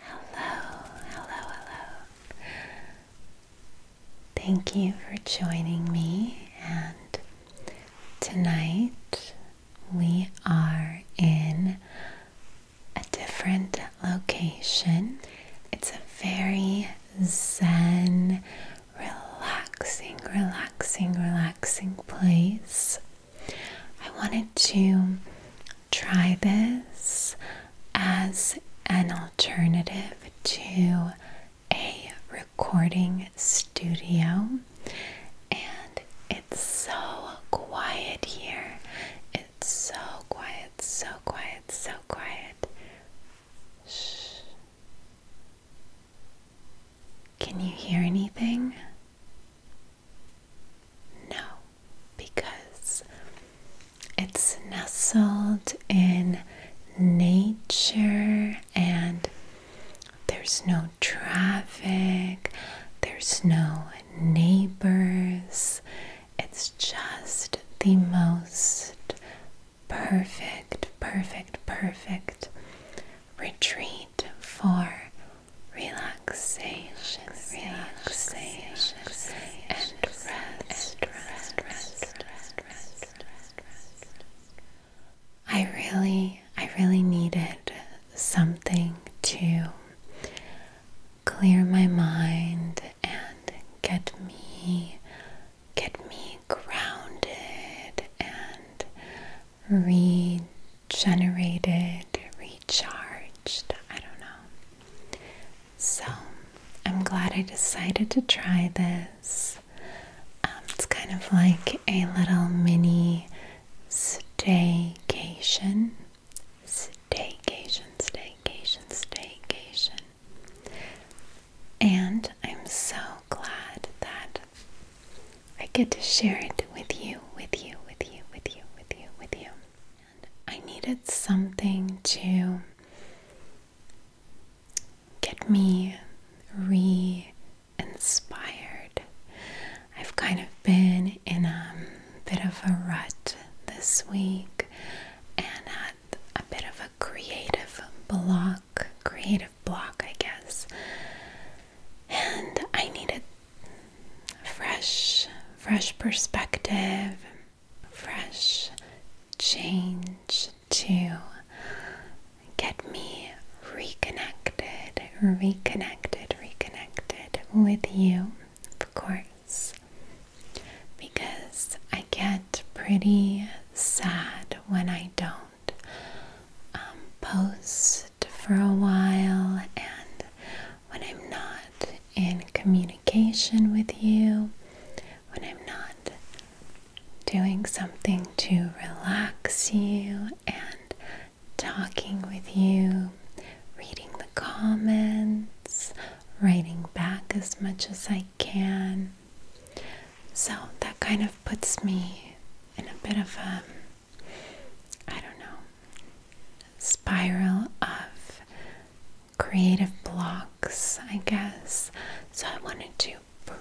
Hello, hello, hello. Thank you for joining me. And tonight we are in a different location. It's a very zen, relaxing, relaxing, relaxing place. I wanted to try this as an alternative to a recording studio, and it's so quiet here. It's so quiet, so quiet, so quiet. Shh. Can you hear anything? No, because it's nestled in nature and there's no traffic, there's no neighbors. It's just the most perfect, perfect, perfect retreat for relaxation, relaxation, and rest, rest, I really, I really needed something to clear my mind and get me get me grounded and read generated, recharged. I don't know. So I'm glad I decided to try this. Um, it's kind of like a little mini staycation. Staycation, staycation, staycation. And I'm so glad that I get to share it with you with you, with you, with you, with you, with you. I needed something to get me re inspired. I've kind of been in a bit of a rut this week and had a bit of a creative block, creative block, I guess. And I needed fresh, fresh perspective, fresh change to get me reconnected, reconnected, reconnected with you, of course, because I get pretty sad when I don't um, post for a while and when I'm not in communication with you, when I'm not doing something to relax you and talking with you, reading the comments, writing back as much as I can. So that kind of puts me in a bit of a I don't know, spiral of creative blocks, I guess. So I wanted to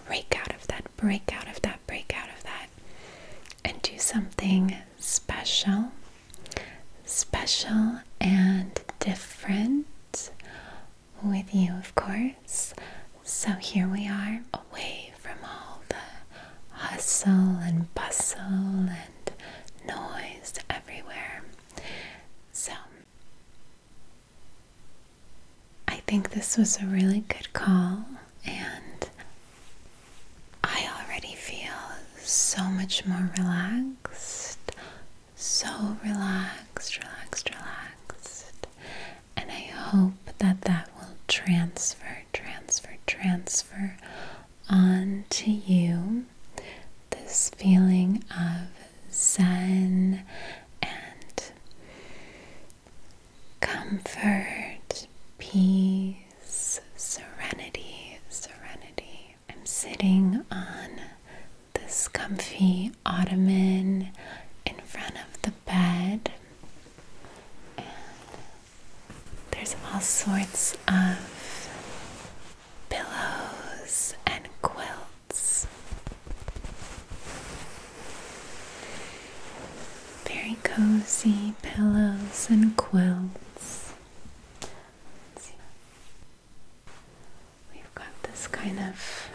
break out of that, break out of that, break out of that, and do something special, special and different with you, of course. So here we are away from all the hustle and bustle and noise everywhere. So, I think this was a really good call, and I already feel so much more relaxed. So relaxed, relaxed, relaxed. And I hope hope that that will transfer, transfer, transfer onto you this feeling of sun and comfort, peace, serenity, serenity. I'm sitting on this comfy ottoman in front of the bed. And there's all sorts of pillows and quilts. Very cozy pillows and quilts. We've got this kind of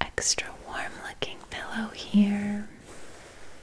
extra warm looking pillow here.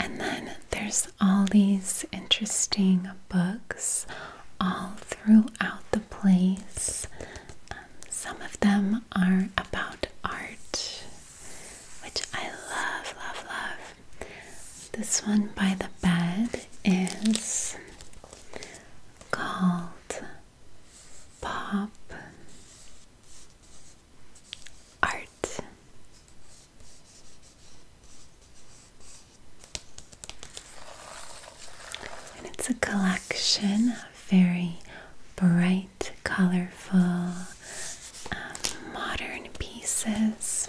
And then there's all these interesting books all throughout the place. Um, some of them are about art, which I love, love, love. This one by the bed is called Pop art. And it's a collection of very bright, colorful, um, modern pieces.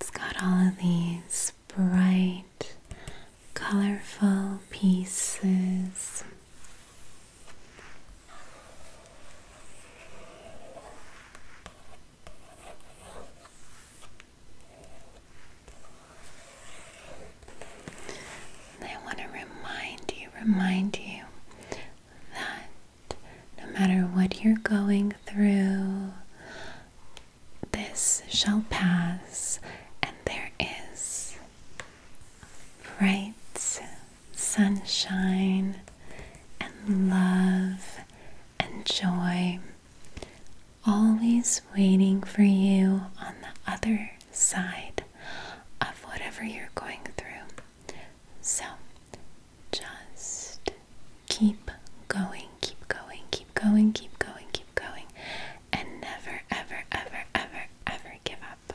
It's got all of these bright, colorful pieces. I want to remind you, remind you that no matter what you're going through, this shall pass, and there is bright sunshine and love and joy always waiting for you on the other side of whatever you're going through. So, just keep going, keep going, keep going, keep going, keep going, and never, ever, ever, ever, ever give up.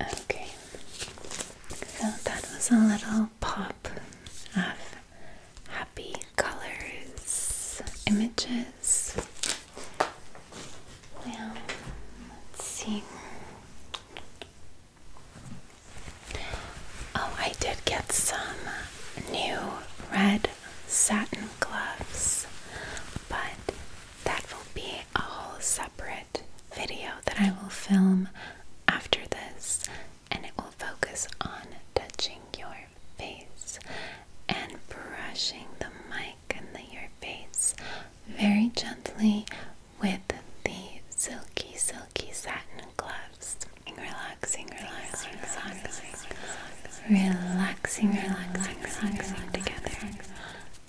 Okay, so that was a little pop of happy colors, images. Now, let's see. Oh, I did get some new red satin gloves, but that will be a whole separate video that I will film after this, and it will focus on touching your face and brushing the mic and your face very gently with the silky, silky satin gloves. And Relax relaxing, relaxing, relaxing, relaxing, relaxing together.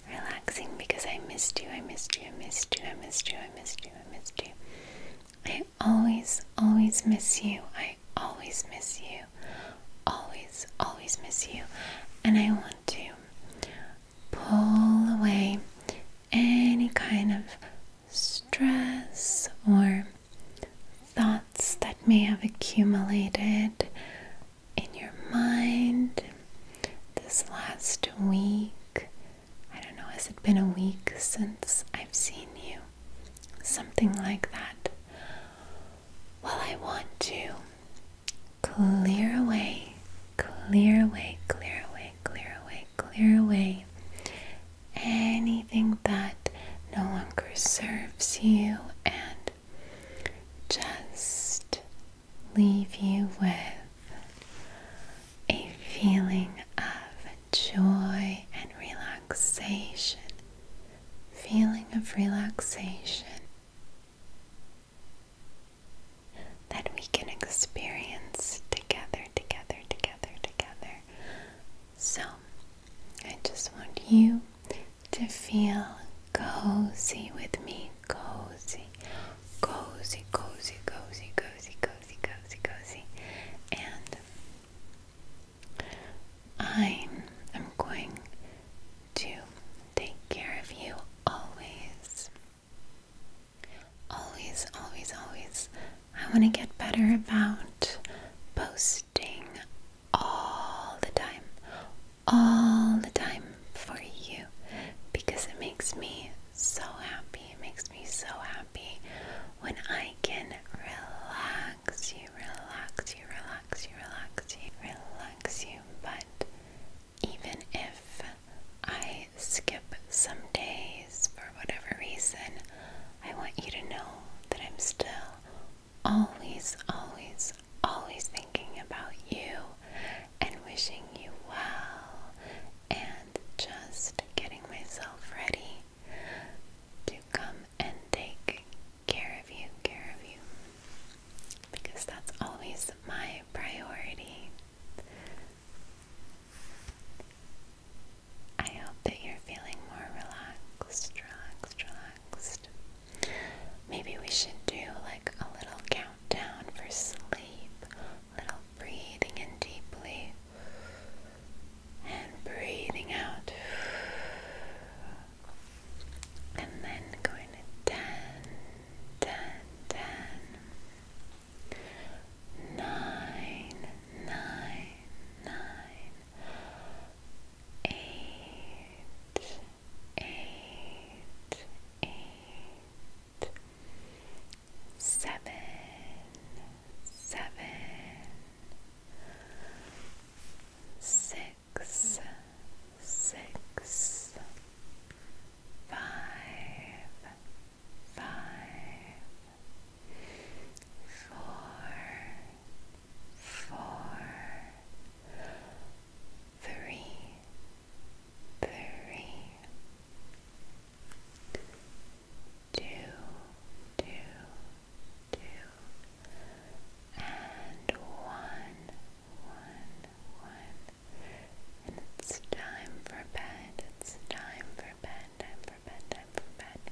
Relaxing because I missed you, I missed you, I missed you, I missed you, I missed you, I missed you. I always, always miss you. I always miss you. Always, always miss you. And I want to pull away any kind of stress or thoughts that may have accumulated in your mind this last week. I don't know, has it been a week since I've seen you? Something like that. Well, I want to clear away, clear away, clear away, clear away, clear away anything that no longer serves you and just leave you with a feeling of joy and relaxation. Feeling of relaxation that we can experience together, together, together, together so, I just want you to feel cozy with me. Cozy, cozy, cozy, cozy, cozy, cozy, cozy, cozy. And I'm, I'm going to take care of you always. Always, always, always. I want to get better about posting all the time, all the time for you because it makes me so happy. It makes me so happy when I can relax you, relax you, relax you, relax you, relax you. But even if I skip some days for whatever reason, I want you to know that I'm still always, always, always thinking about you and wishing you well and just getting myself ready to come and take care of you, care of you. Because that's always my priority. I hope that you're feeling more relaxed, Maybe we should do like a little countdown for sleep, little breathing in deeply and breathing out. And then going to 10, eight, eight, eight, seven, seven, six, six, five, five four, four, three, three, two, two, two, and one, one, one. it's time for bed. It's time for bed. Time for bed. Time for bed.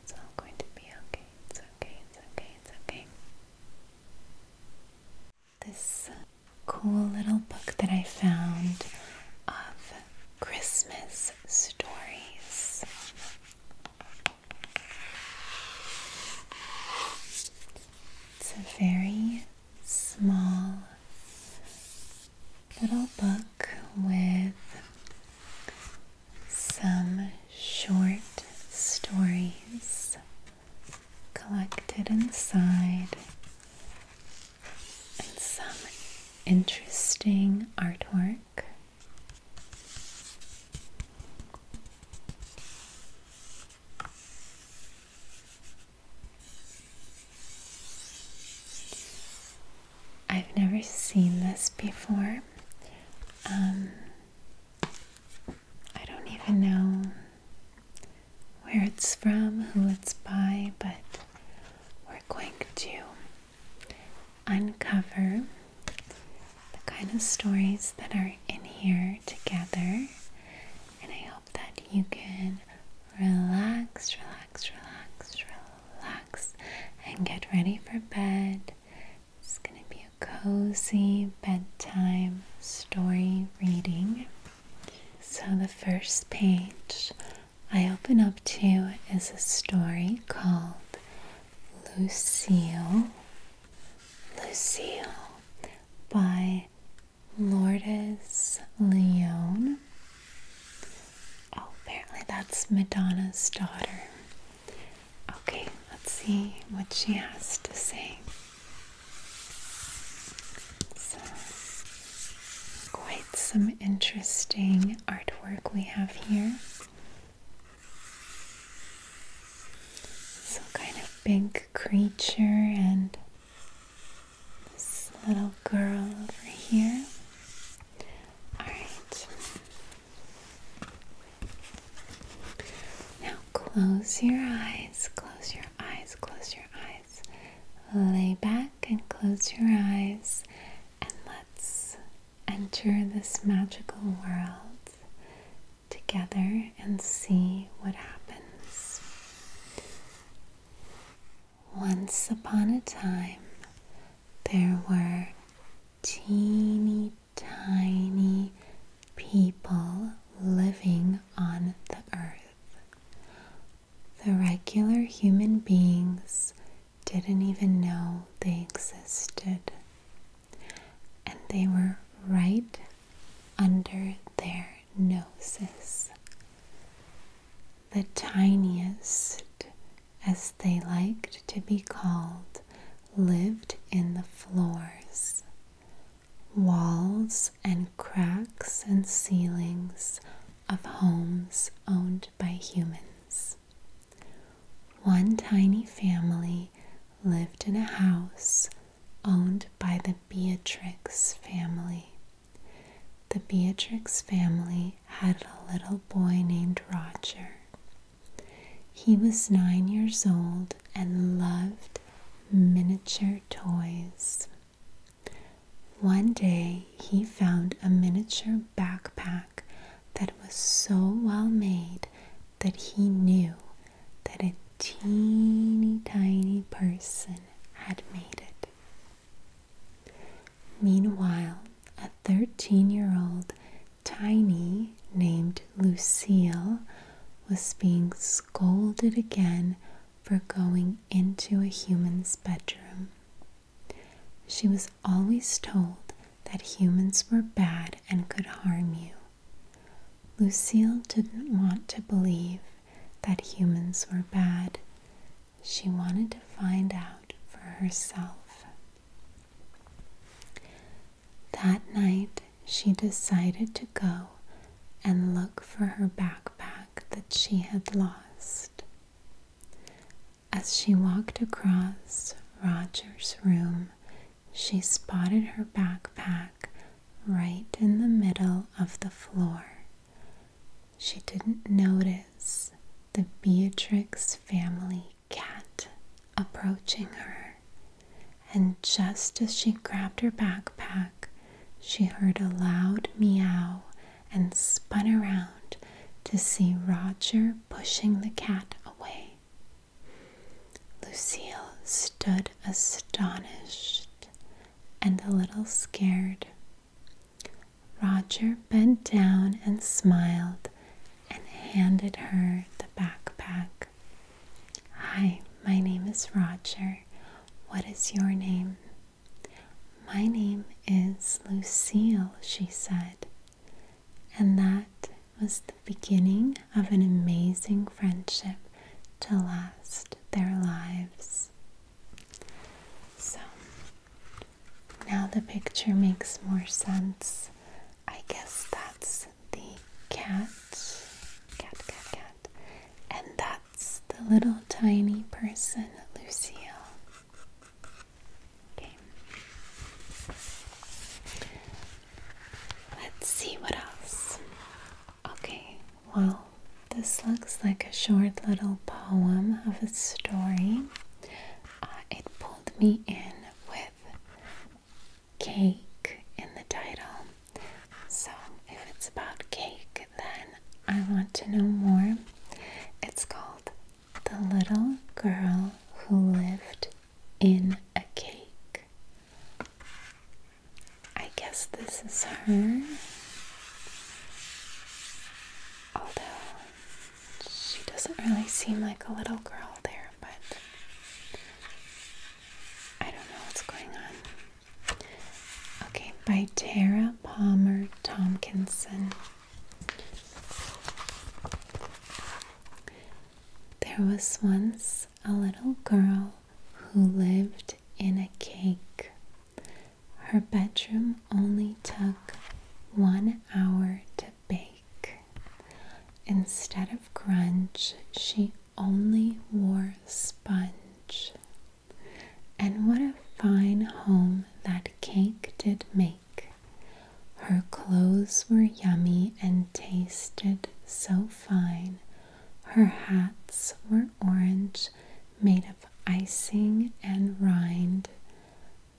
it's all going to be okay. It's okay. It's okay. It's okay. This uh, cool little book that I found of Christmas stories. It's a very small little book with some short stories collected inside and some interesting artwork. I've never seen this before. Um, I don't even know where it's from, who it's by, but we're going to uncover the kind of stories that are in here together. And I hope that you can relax, relax, relax, relax, and get ready for bed. It's going to be a cozy bedtime story reading. So, the first page I open up to is a story called Lucille. Lucille by Lourdes Leone. Oh, apparently that's Madonna's daughter. Okay, let's see what she has to say. So, quite some interesting artwork we have here. Some kind of big creature and this little girl over here. Alright, now close your eyes, close your eyes, close your eyes. Lay back and close your eyes, and let's enter this magical world together and see what happens. Once upon a time, there were teeny tiny people living on the earth. The regular human beings didn't even know they existed, and they were right under their noses. The tiniest as they liked to be called, lived in the floors. Walls and cracks and ceilings of homes owned by humans. One tiny family lived in a house owned by the Beatrix family. The Beatrix family had a little boy named Roger. He was nine years old and loved miniature toys. One day he found a miniature backpack that was so well made that he knew that a teeny tiny person had made it. Meanwhile, a 13 year old Tiny named Lucille was being scolded again for going into a human's bedroom. She was always told that humans were bad and could harm you. Lucille didn't want to believe that humans were bad, she wanted to find out for herself. That night, she decided to go and look for her backpack that she had lost. As she walked across Roger's room, she spotted her backpack right in the middle of the floor. She didn't notice the Beatrix family cat approaching her, and just as she grabbed her backpack, she heard a loud meow and spun around to see Roger pushing the cat away. Lucille stood astonished and a little scared Roger bent down and smiled and handed her the backpack. Hi, my name is Roger. What is your name? My name is Lucille, she said. And that was the beginning of an amazing friendship to last their lives. So now the picture makes more sense. I guess that's the cat. Cat, cat, cat. And that's the little tiny person, Lucille. Okay. Let's see what else. Okay, well, this looks like a short little poem of a story. Uh, it pulled me in with cake in the title. So, if it's about cake, then I want to know more. It's called The Little Girl Who Lived in a Cake. I guess this is her. Although she doesn't really seem like a little girl there, but I don't know what's going on. Okay, by Tara Palmer Tompkinson. There was once a little girl who lived in a cake. Her bedroom only took one hour to bake. Instead of grunge, she only wore sponge. And what a fine home that cake did make. Her clothes were yummy and tasted so fine. Her hats were orange made of icing and rind.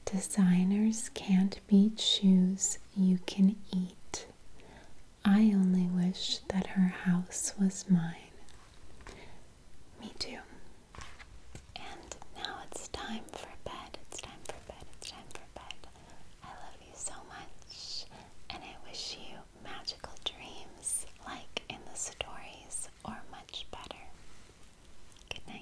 Designers can't beat shoes you can eat. I only wish that her house was mine. Me too. And now it's time for bed. It's time for bed. It's time for bed. I love you so much, and I wish you magical dreams like in the stories or much better. Good night.